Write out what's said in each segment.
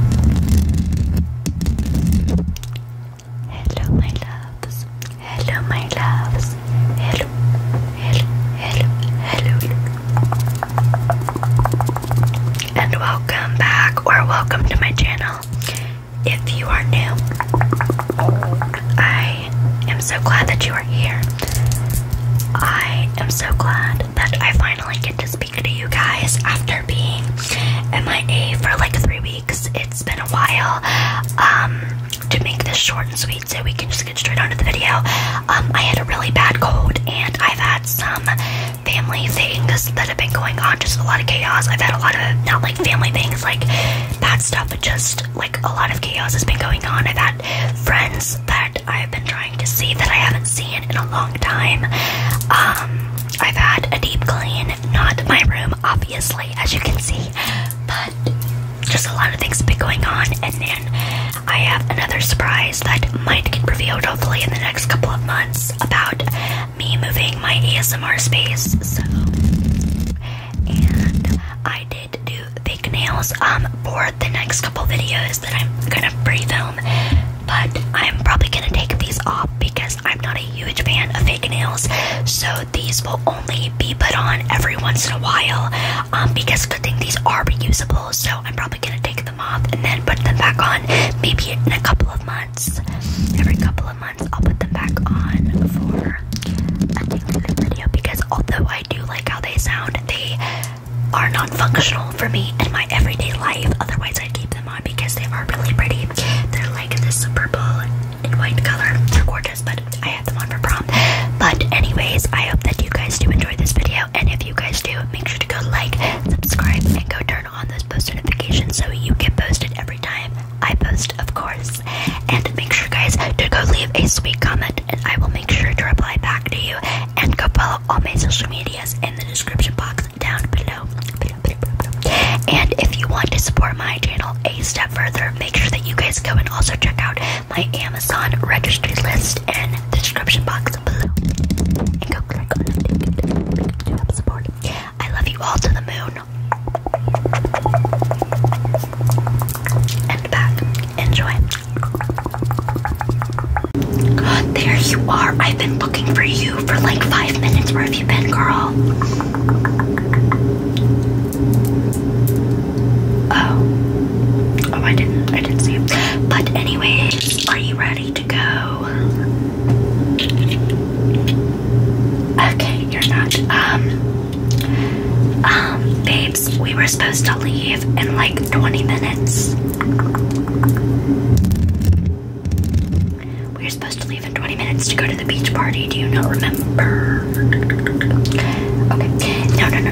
Hello, my loves. Hello, my loves. Hello, hello, hello, hello. And welcome back, or welcome to my channel. If you are new, I am so glad that you are here. I am so glad that I finally get to to speak to you guys after being in my MIA for like three weeks. It's been a while. Um, to make this short and sweet so we can just get straight on to the video, um, I had a really bad cold and I've had some family things that have been going on, just a lot of chaos. I've had a lot of, not like family things, like bad stuff, but just like a lot of chaos has been going on. I've had friends that I've been trying to see that I haven't seen in a long time. Um, I've had a deep clean, not my room, obviously, as you can see, but just a lot of things have been going on. And then I have another surprise that might get revealed hopefully in the next couple of months about me moving my ASMR space. So, and I did do fake nails um, for the next couple videos that I'm gonna pre film but I'm probably gonna take these off because I'm not a huge fan of fake nails, so these will only be put on every once in a while. Um, because good thing these are reusable, so I'm probably gonna take them off and then put them back on maybe in a couple of months. Every couple of months, I'll put them back on for a different video because although I do like how they sound, they are non functional for me in my everyday life, otherwise, I'd keep them because they are really pretty. They're like this purple and white color. They're gorgeous, but I had them on for prom. But anyways, I hope that you guys do enjoy this video. And if you guys do, make sure to go like, subscribe, and go turn on those post notifications so you get posted every time I post, of course. And make sure, guys, to go leave a sweet comment, and I will make sure to reply back to you. And go follow all my social medias in the description box down below. And if you want to support my channel a step further, make sure that you guys go and also check out my Amazon registry list in the description box below. I love you all to the moon. And back. Enjoy. There you are. I've been looking for you for like five minutes. Where have you been, girl? Oh. Oh, I didn't. I didn't see you. But, anyways, are you ready to go? Okay, you're not. Um. Um, babes, we were supposed to leave in like 20 minutes. We are supposed to leave in 20 minutes to go to the beach party. Do you not remember? Okay. No, no, no.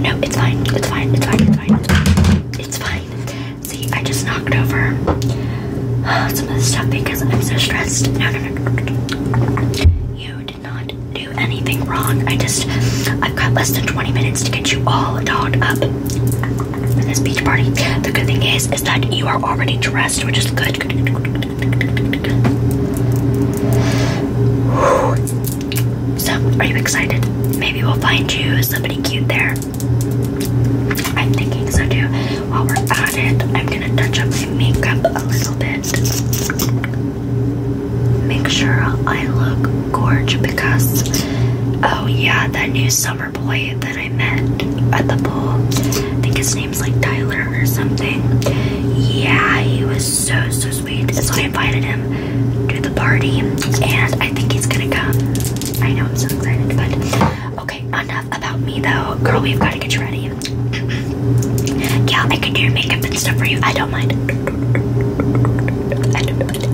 No, it's fine. It's fine. It's fine. It's fine. It's fine. See, I just knocked over some of the stuff because I'm so stressed. No, no, no. You did not do anything wrong. I just, I've got less than 20 minutes to get you all dolled up for this beach party. The good thing is, is that you are already dressed, which is good. good. So, are you excited? Maybe we'll find you somebody cute there. I'm thinking so too. While we're at it, I'm gonna touch up my makeup a little bit make sure I look gorge because oh yeah, that new summer boy that I met at the pool. I think his name's like Tyler or something. Yeah, he was so so sweet. So I invited him to the party and I think he's gonna come. I know I'm so excited, but okay, enough about me though. Girl, we've gotta get you ready. yeah, I can do your makeup and stuff for you. I don't mind. Okay,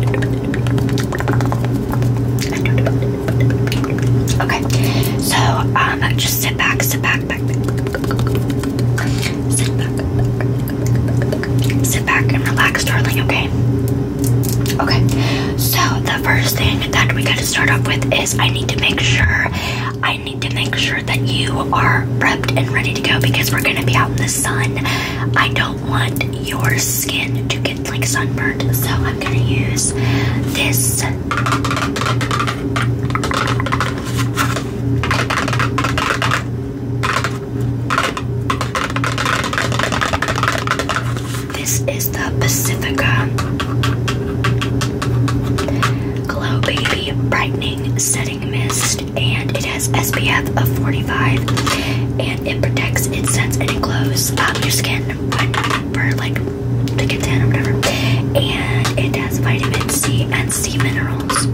so um, just sit back, sit back, back, sit back, sit back, and relax, darling. Okay. Okay. So the first thing that we got to start off with is I need to make sure I need to make sure that you are prepped and ready to go because we're gonna be out in the sun. I don't do want your skin to get like sunburned, so I'm gonna use this. This is the Pacifica Glow Baby Brightening Setting Mist and it has SPF of 45 and it protects, it sets, and it glows um, your skin for like to get or whatever. And it has vitamin C and C minerals.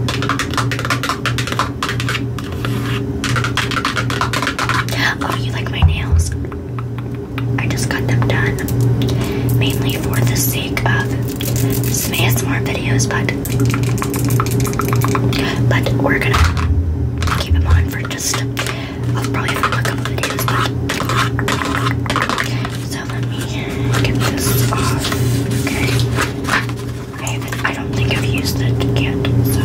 Oh, you like my nails? I just got them done mainly for the sake of some ASMR videos, but but we're gonna keep him on for just I'll probably film a couple videos, but so let me get this off. Okay. I haven't I don't think I've used it yet, so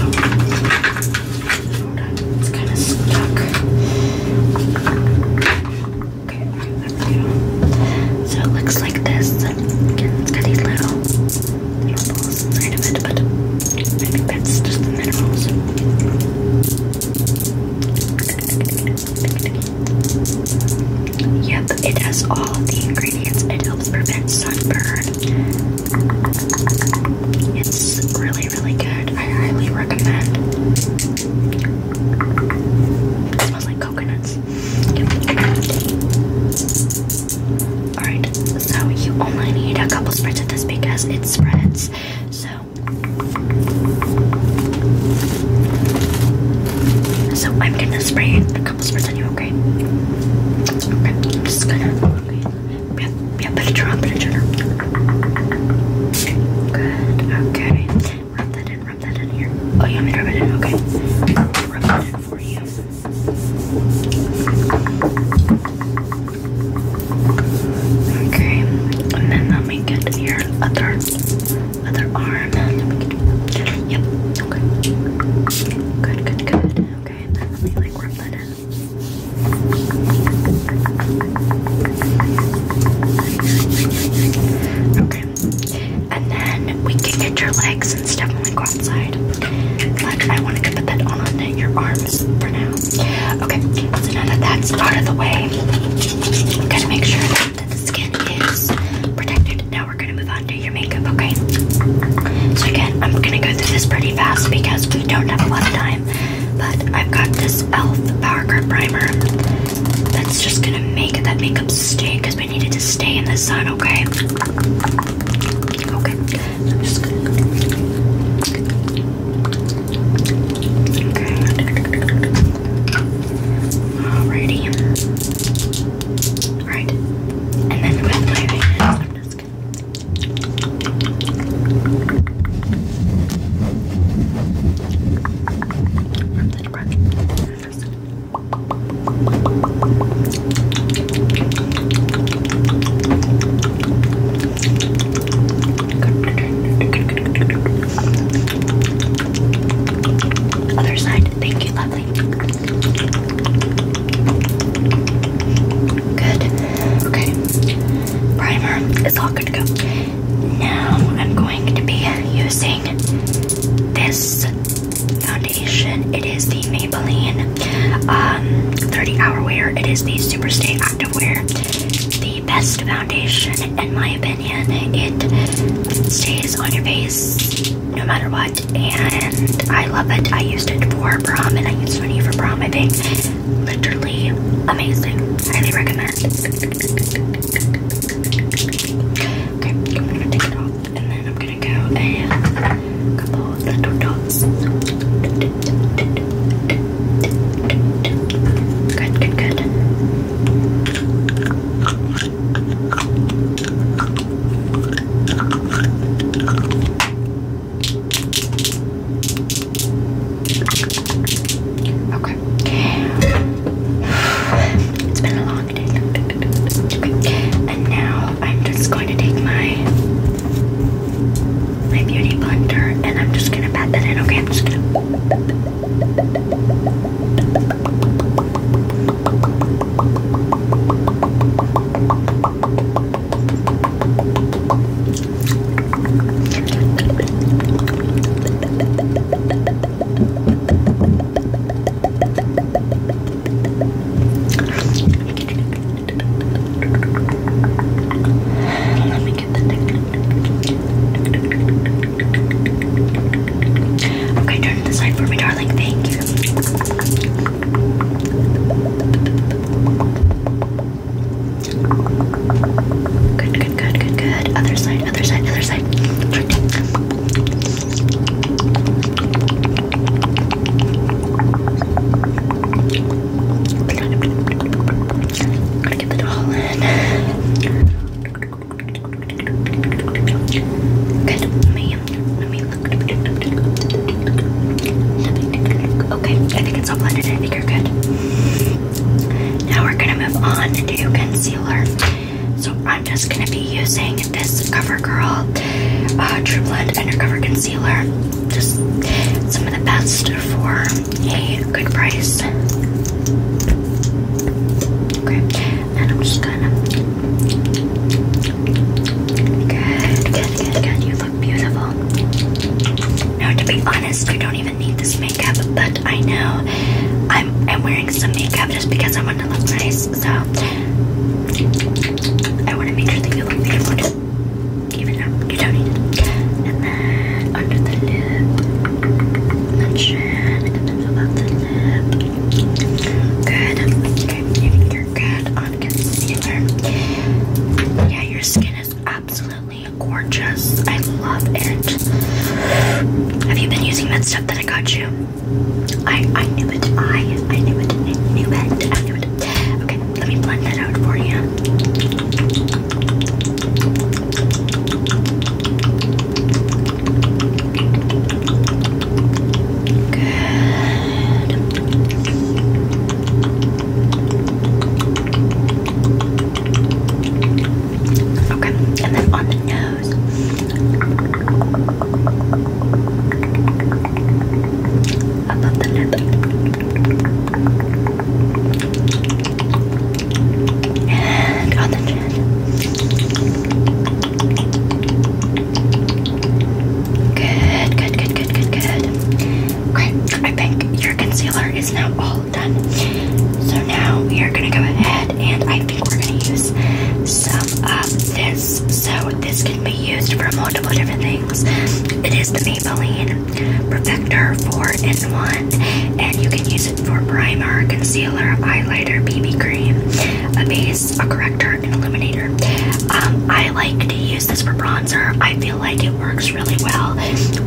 it's kinda stuck. Okay, so it looks like this. Again, it's these little it, Yep, it has all of the ingredients. It helps prevent sunburn. It's really, really good. I highly recommend. smells like coconuts. Alright, so you only need a couple spritz of this because it spreads. So so I'm gonna spray a couple spritz on you, okay? Okay, I'm just gonna Yeah, yeah, put it drop, put it drop. Good, okay. Rub that in, rub that in here. Oh you want me to rub it in? Okay for you. Okay, and then let me get your other other arm. Yep. Okay. Good, good, good. Okay, and then let me like rub that in. Okay. And then we can get your legs and stuff when we go outside. I wanted to put that on your arms for now. Okay, so now that that's out of the way, we gotta make sure that the skin is protected. Now we're gonna move on to your makeup, okay? So again, I'm gonna go through this pretty fast because we don't have a lot of time. But I've got this e.l.f. Power Grip Primer that's just gonna make that makeup stay because we needed to stay in the sun, okay? Okay, just Alrighty. Right. And then with my I'm just I'm just other side, thank you, lovely. Good. Okay. Primer is all good to go. Now I'm going to be using this uh, it is the Maybelline um, 30 Hour Wear. It is the Superstay Wear. The best foundation, in my opinion. It stays on your face no matter what, and I love it. I used it for prom, and I used money for prom. I think literally amazing. Highly recommend. Okay, I'm gonna take it off and then I'm gonna go and couple of little dots. Good, good, good. Okay. It's been a long and now I'm just going to take my my beauty blender and I'm just gonna pat that in. Okay, I'm just gonna. Let me get the Okay, turn to the side for me, darling. Thank you. Good, good, good, good, good. Other side, other side, other side. I'm going in. Good. Let let me look. Okay, I think it's all blended. I think you're good. Now we're gonna move on to concealer. So I'm just gonna be using this CoverGirl uh, True Blend Undercover Concealer. Just some of the best for a good price. Okay, and I'm just gonna. Good, good, good, good. You look beautiful. Now, to be honest, you don't even need this makeup, but I know I'm wearing some makeup just because I want to look nice. So. I want to make sure that you look beautiful too. Even though you don't need it. under the lip, mention, and then above the lip. Good. Okay, you're good on concealer. Yeah, your skin is absolutely gorgeous. I love it. Have you been using that stuff that I got you? I I knew it. I I knew it. I knew it. I knew it. Okay, let me blend that out for you. Good. Okay, and then on the nose. Above the lip. And on the chin. Good, good, good, good, good, good. Great. I think your concealer is now all done. So now we are gonna go ahead and I think we're gonna use some of this. So this can be used for multiple different things. It is the Maybelline Perfector 4-in-1, and you can use it for primer, concealer, highlighter, BB cream, a base, a corrector, and illuminator. Um, I like to use this for bronzer. I feel like it works really well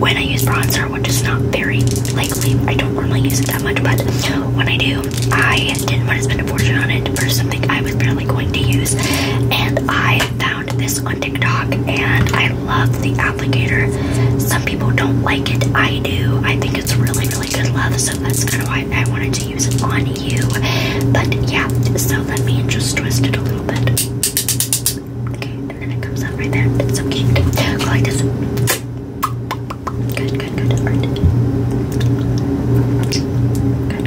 when I use bronzer, which is not very likely. I don't normally use it that much, but when I do, I didn't want to spend a fortune on it for something I was barely going to use. And I found this on TikTok and I love the applicator. Some people don't like it. I do. I think it's really, really good love. So that's kind of why I wanted to use it on you. But yeah, so let me just twist it a little bit. Okay, and then it comes out right there. It's so cute. Go like this. Good, good, good. All right. Okay,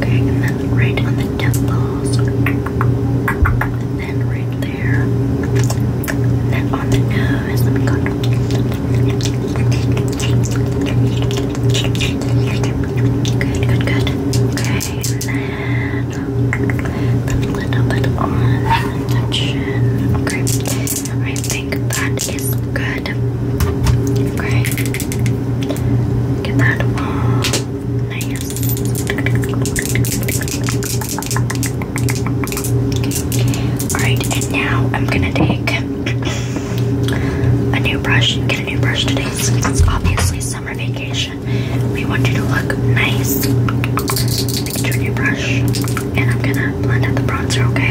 then right on the temples. And then right there. then on the nose. Let me go. Good, good, good. Okay, then a little bit on the chin. Okay. I think that is good. Okay. Get that all nice. Alright, and now I'm gonna take a new brush. Get a new brush today obviously summer vacation. We want you to look nice. Get your new brush. And I'm gonna blend out the bronzer, okay?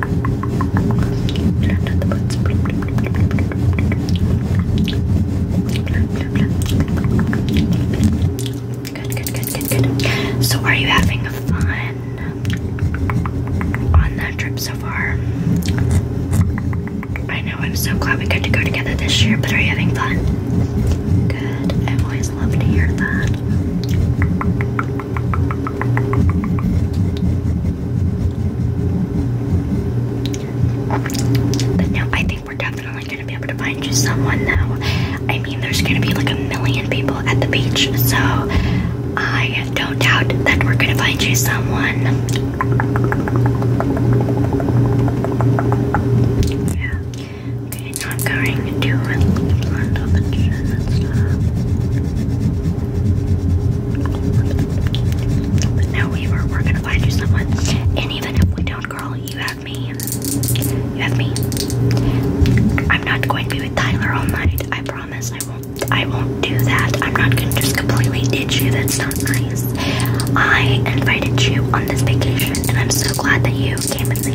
Good, good, good, good, good. So, are you having fun on that trip so far? I know I'm so glad we got to go together this year, but are you having fun? Good. I always love to hear that. But no, I think we're definitely gonna be able to find you someone though. I mean, there's gonna be like a million people at the beach, so I don't doubt that we're gonna find you someone. Yeah. Okay, I'm going to blend up and shit but we were, we're gonna find you someone. And even if we don't, girl, you have me. You have me. I'm not going to be with Tyler all night. I promise I won't. I won't do that. I'm not gonna just completely ditch you. That's not nice. I invited you on this vacation, and I'm so glad that you came with me.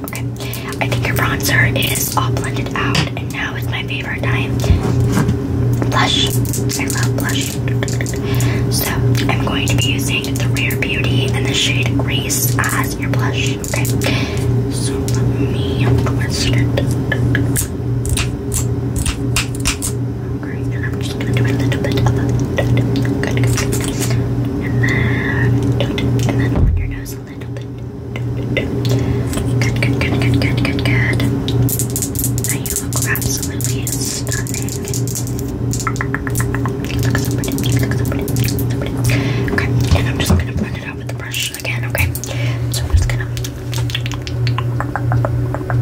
Okay, I think your bronzer is all blended out, and now it's my favorite time. Blush. I blush. So I'm going to be using the Rare Beauty and the shade Grace as your blush. Okay. So let me twist it. And I'm just gonna do a little bit of a good, good, good. And then, and then on your nose a little bit. Good, good, good, good, good, good, good. Now you look absolutely stunning. Okay, and I'm just gonna blend it out with the brush again. Okay, so I'm just gonna. But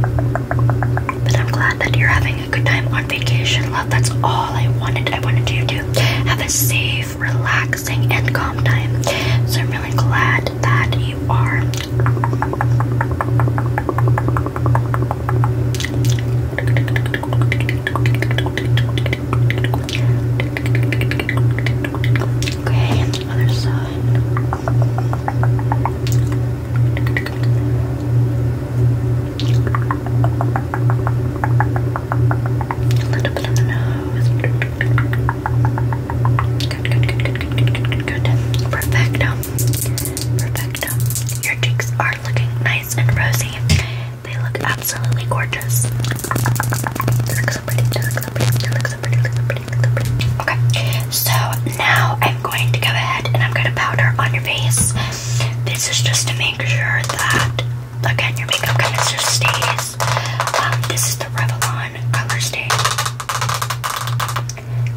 I'm glad that you're having a good time on vacation, love. That's all I wanted. I wanted you to have a safe, relaxing, and calm time. So I'm really glad that you are. Okay, other side. A little bit on the nose. Good, good, good, good, good, good, good, good. Perfecto. Perfecto. Your cheeks are looking nice and rosy. They look absolutely gorgeous. Okay. So now I'm going to go ahead and I'm going to powder on your face. This is just to make sure that again your makeup canister stays. Um, this is the Revlon color stain.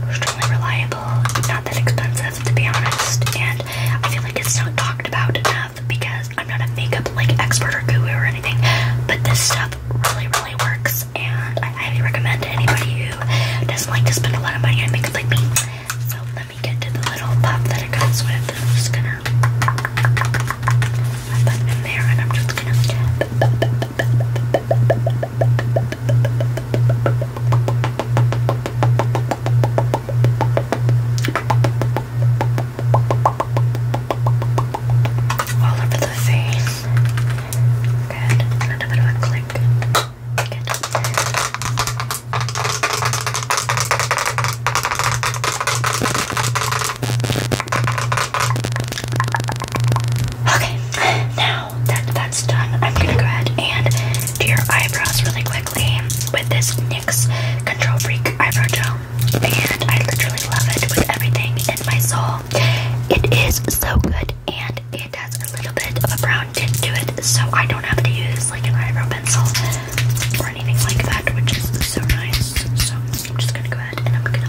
Extremely reliable, not that expensive to be honest, and I feel like it's not talked about enough because I'm not a makeup like expert or guru or anything, but this stuff really, really works, and I highly recommend to anybody who who doesn't like to spend a lot of money on makeup like me. So let me get to the little pop that I got. So I'm just gonna put it in there, and I'm just gonna. All over the face. Good. And a bit click. Okay, now that that's done, I'm gonna go ahead and do your eyebrows really quickly with this NYX Control Freak Eyebrow Gel. And I literally love it with everything in my soul. It is so good and it has a little bit of a brown tint to it, so I don't have to use like an eyebrow pencil or anything like that, which is so nice. So I'm just gonna go ahead and I'm gonna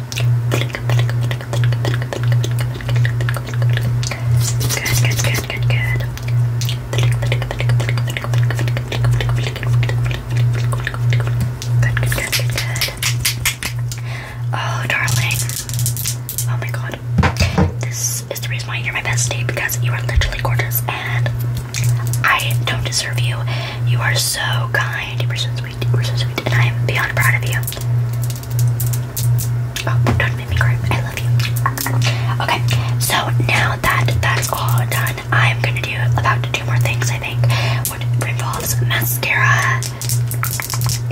Oh, darling. Oh my god. This this is the reason why you're my bestie because you are literally gorgeous and I don't deserve you. You are so kind, you are so sweet, you are so sweet, and I am beyond proud of you. Oh, don't make me cry. I love you. Okay, so now that that's all done, I'm gonna do about two more things I think, which involves mascara.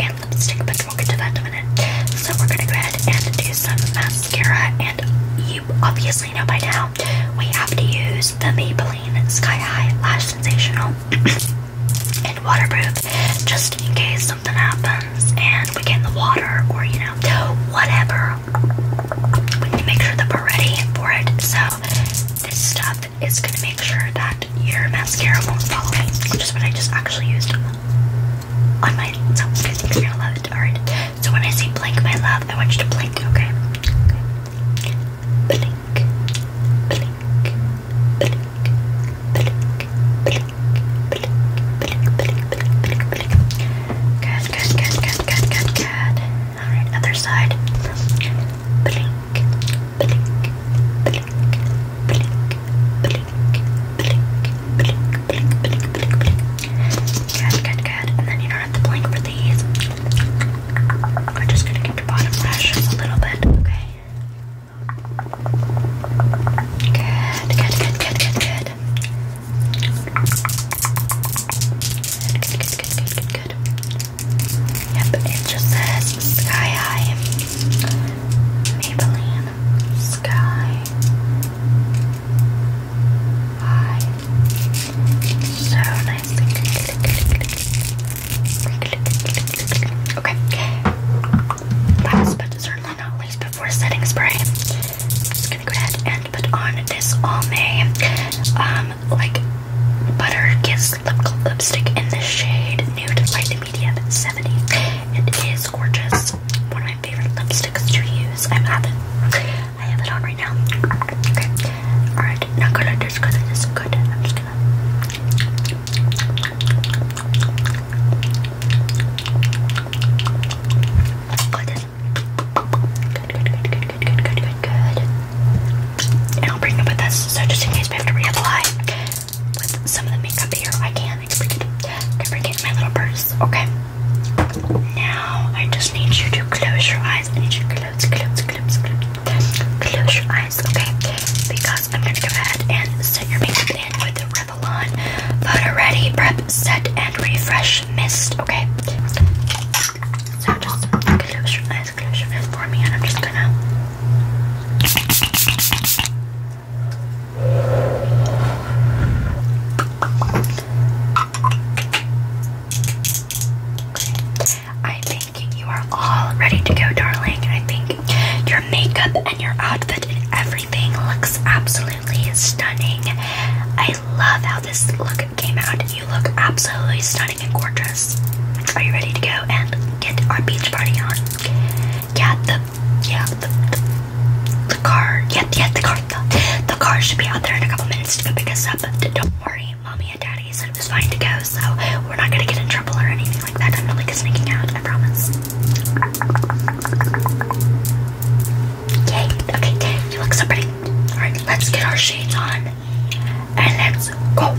And have lipstick, but we'll get to that in a minute. So we're gonna go ahead and do some mascara, and you obviously know by now we have to use the Maybelline Sky High Lash Sensational and waterproof, just in case something happens and we get in the water or you know whatever. We need to make sure that we're ready for it. So this stuff is gonna make sure that your mascara won't follow me, which is what I just actually used on my top you're gonna love it. Alright, so when I say blink, my love, I want you to blink, okay? okay. Blink, blink, blink, blink, blink, blink, blink, blink, blink, blink. Good, good, good, good, good, good, good. Alright, other side. blink, blink, blink, blink, blink blink, blink, blink, blink, blink. Good, good, good. And then you don't have to blink for these. We're just gonna get your bottom lash a little bit, okay? Good, good, good, good, good, good. Good, good, good, good, good, good. Yep, it just says Sky High. Maybelline Sky Hi. So nicely. Okay. Last but certainly not least before setting spray. I'm just gonna go ahead and put on this all May um like butter kiss lipstick in the shade nude light medium 70. It is gorgeous. One of my favorite lipsticks to use. I'm have I have it on right now. Okay. Alright, not gonna do it is good. I'm just gonna good, good, good, good, good, good, good, good. And I'll bring up with this, so just in case we have to reapply with some of the makeup here. I can. I can bring it. it in my little purse. Okay. Now I just need you to close your eyes. I need you to close, close, close, close, close your eyes. Okay. Because I'm gonna go ahead and set your makeup in with the Revlon Photo Ready Prep Set and Refresh Mist. Okay. So just close your eyes, close your eyes for me, and I'm just gonna. I think you are all ready to go, darling. I think your makeup and your outfit and everything looks absolutely stunning. I love how this look came out. You look absolutely stunning and gorgeous. Are you ready to go and get our beach party on? Yeah, the yeah the, the, car yeah yeah the car the, the car should be out there in a couple minutes to go pick us up. Don't worry, mommy and daddy said it was fine to go, so we're not gonna get in trouble or anything like that. I'm not like sneaking out. I promise. Yay! Okay, you look so pretty. All right, let's get our shades on and let's go.